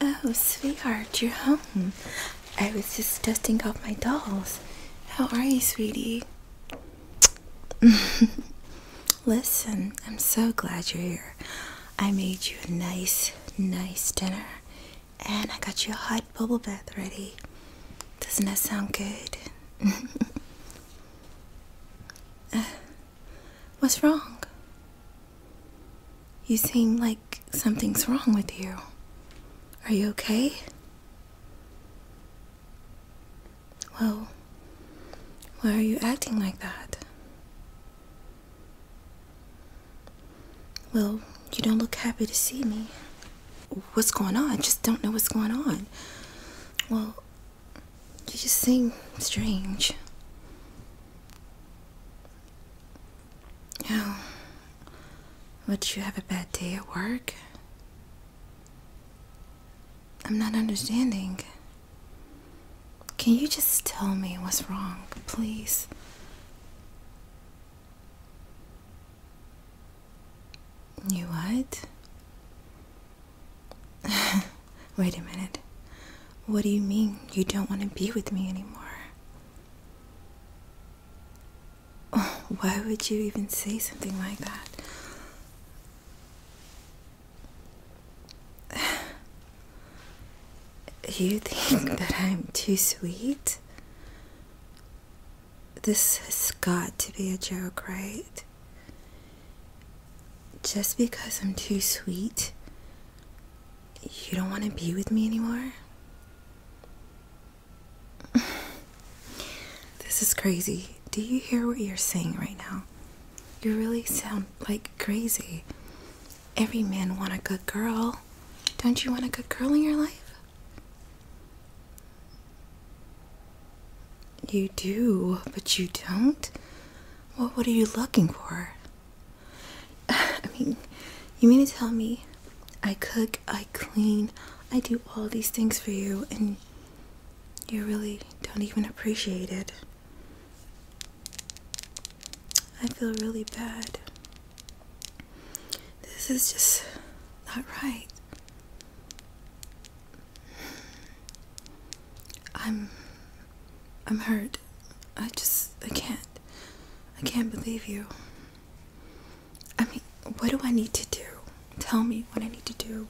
Oh, sweetheart, you're home. I was just dusting off my dolls. How are you, sweetie? Listen, I'm so glad you're here. I made you a nice, nice dinner. And I got you a hot bubble bath ready. Doesn't that sound good? Uh, what's wrong? You seem like something's wrong with you. Are you okay? Well, why are you acting like that? Well, you don't look happy to see me. What's going on? I just don't know what's going on. Well, you just seem strange. Oh, would you have a bad day at work? I'm not understanding. Can you just tell me what's wrong, please? You what? Wait a minute. What do you mean you don't want to be with me anymore? Why would you even say something like that? You think that I'm too sweet? This has got to be a joke, right? Just because I'm too sweet, you don't want to be with me anymore? this is crazy. Do you hear what you're saying right now? You really sound like crazy. Every man want a good girl. Don't you want a good girl in your life? You do, but you don't? Well, what are you looking for? I mean, you mean to tell me I cook, I clean, I do all these things for you, and you really don't even appreciate it? I feel really bad. This is just not right. I'm I'm hurt. I just I can't. I can't believe you. I mean, what do I need to do? Tell me what I need to do.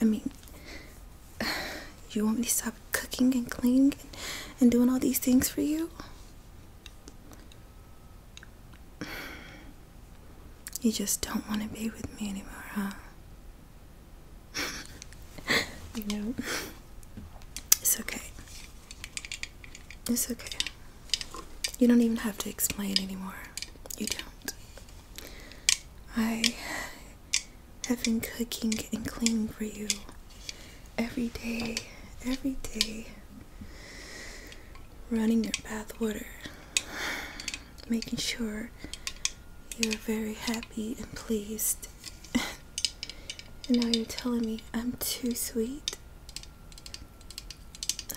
I mean, you want me to stop cooking and cleaning and, and doing all these things for you? You just don't want to be with me anymore, huh? you know, it's okay. It's okay. You don't even have to explain anymore. You don't. I have been cooking and cleaning for you every day, every day, running your bath water making sure you're very happy and pleased. and now you're telling me I'm too sweet?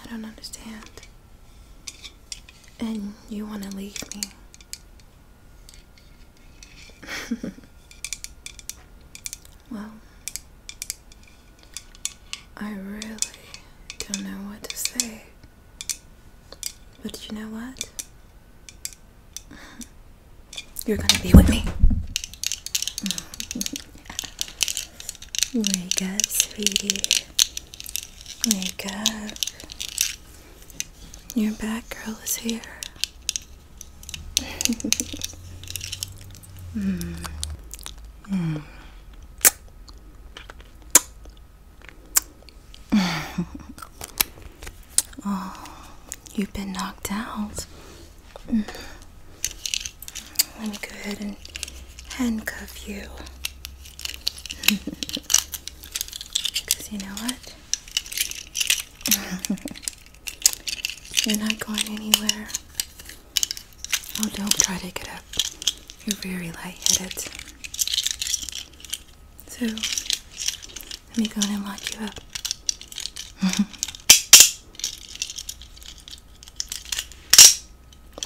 I don't understand. And you want to leave me. well, I really don't know what to say. But you know what? You're gonna be with me. Wake up, sweetie. Wake up. Your bad girl is here. mm. Mm. oh, you've been knocked out. Mm. Let me go ahead and handcuff you. Because you know what? You're not going anywhere. Oh, don't try to get up. You're very light-headed. So, let me go in and lock you up.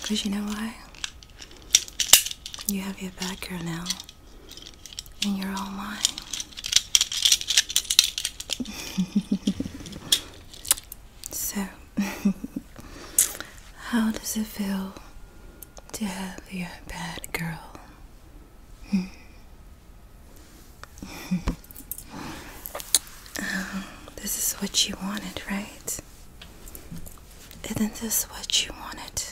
Because you know why? You have your back here now, and you're all mine. So, how does it feel to have your bad girl? Hmm. Um, this is what you wanted, right? Isn't this what you wanted?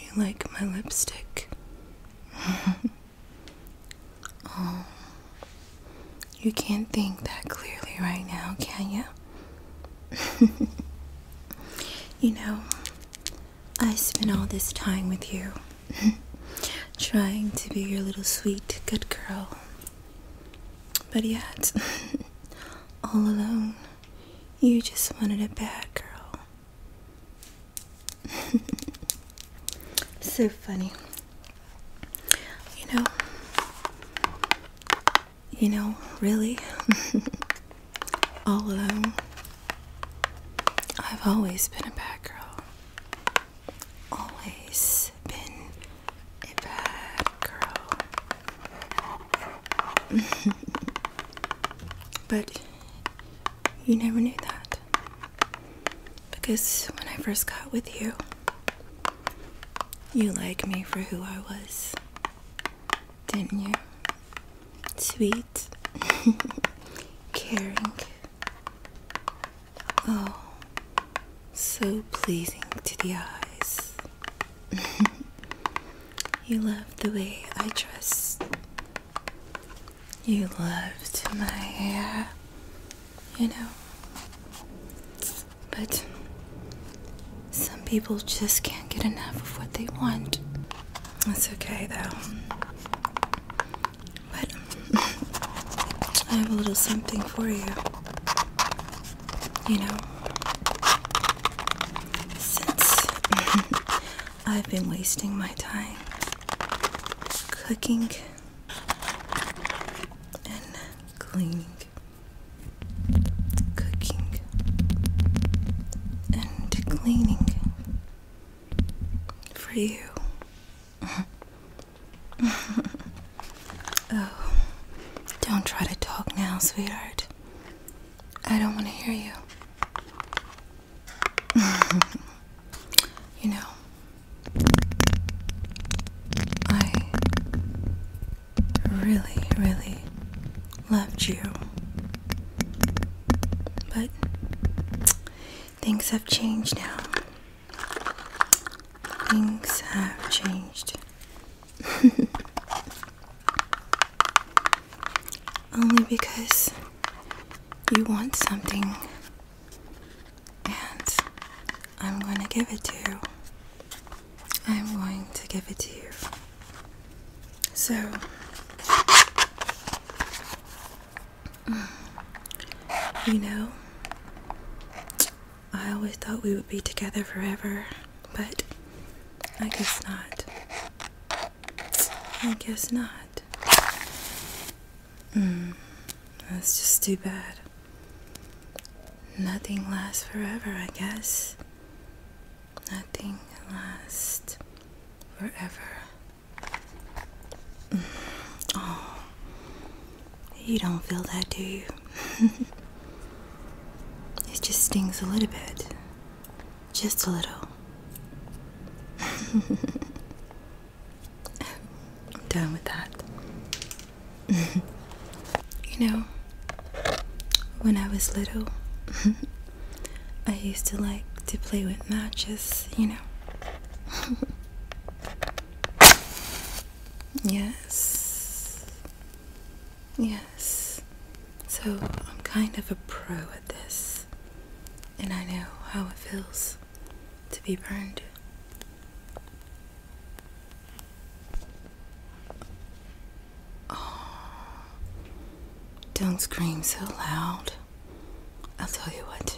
You like my lipstick? oh. You can't think that clearly right now, can you? you know, I spent all this time with you trying to be your little sweet good girl. But yet, all alone, you just wanted a bad girl. so funny. You know, you know, really, all alone. I've always been a bad girl. Always been a bad girl. but you never knew that because when I first got with you, you liked me for who I was, didn't you? Sweet, caring, oh, so pleasing to the eyes. you loved the way I dressed. You loved my hair you know. But some people just can't get enough of what they want. That's okay though. But I have a little something for you. You know, since I've been wasting my time cooking and cleaning, cooking, and cleaning for you. oh, don't try to talk now, sweetheart. I don't want to hear you. you know, I really, really loved you. But things have changed now. Things have changed. Only because you want something and I'm going to give it to you. I'm going to give it to you. So, mm, you know, I always thought we would be together forever, but I guess not. I guess not. Hmm, that's just too bad. Nothing lasts forever, I guess. Nothing lasts forever. Mm, oh, you don't feel that, do you? it just stings a little bit. Just a little. I'm done with that. you know, when I was little, I used to like to play with matches, you know. yes. Yes. So I'm kind of a pro at this and I know how it feels to be burned. don't scream so loud. I'll tell you what,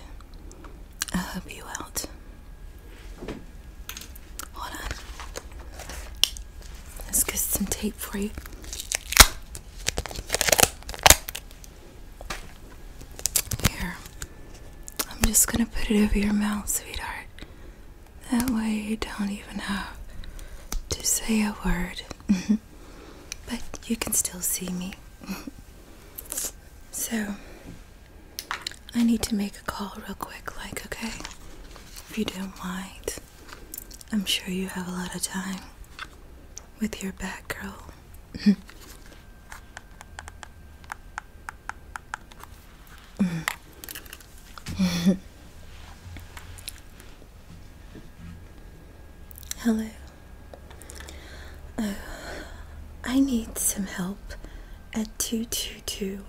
I'll help you out. Hold on. Let's get some tape for you. Here, I'm just gonna put it over your mouth, sweetheart. That way you don't even have to say a word. but you can still see me. so, I need to make a call real quick, like, okay? If you don't mind, I'm sure you have a lot of time with your back girl. Hello. Oh, I need some help at two two two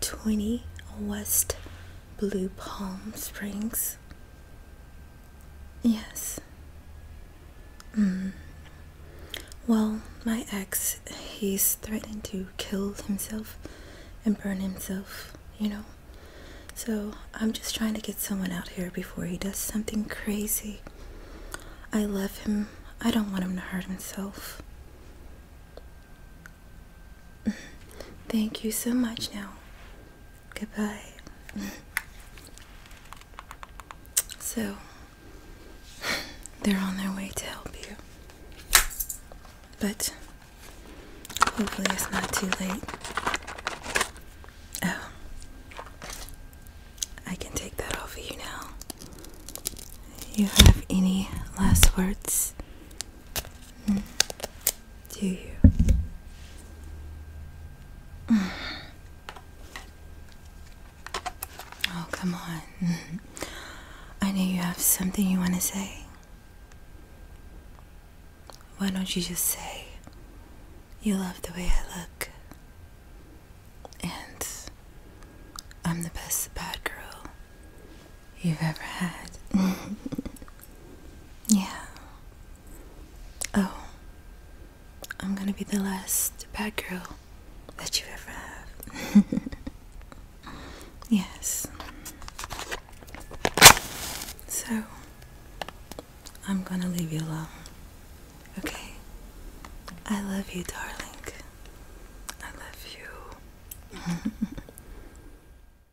twenty West Blue Palm Springs. Yes. Mm. Well, my ex, he's threatened to kill himself and burn himself, you know? So I'm just trying to get someone out here before he does something crazy. I love him. I don't want him to hurt himself. Mm. Thank you so much now. Goodbye. so, they're on their way to help you. But hopefully, it's not too late. Oh, I can take that off of you now. You have any last words? Hmm do you? Oh, come on. I know you have something you want to say. Why don't you just say, You love the way I look, and I'm the best bad girl you've ever had? Yeah. Oh. I'm gonna be the last bad girl that you ever have. yes. So, I'm gonna leave you alone. Okay? I love you, darling. I love you.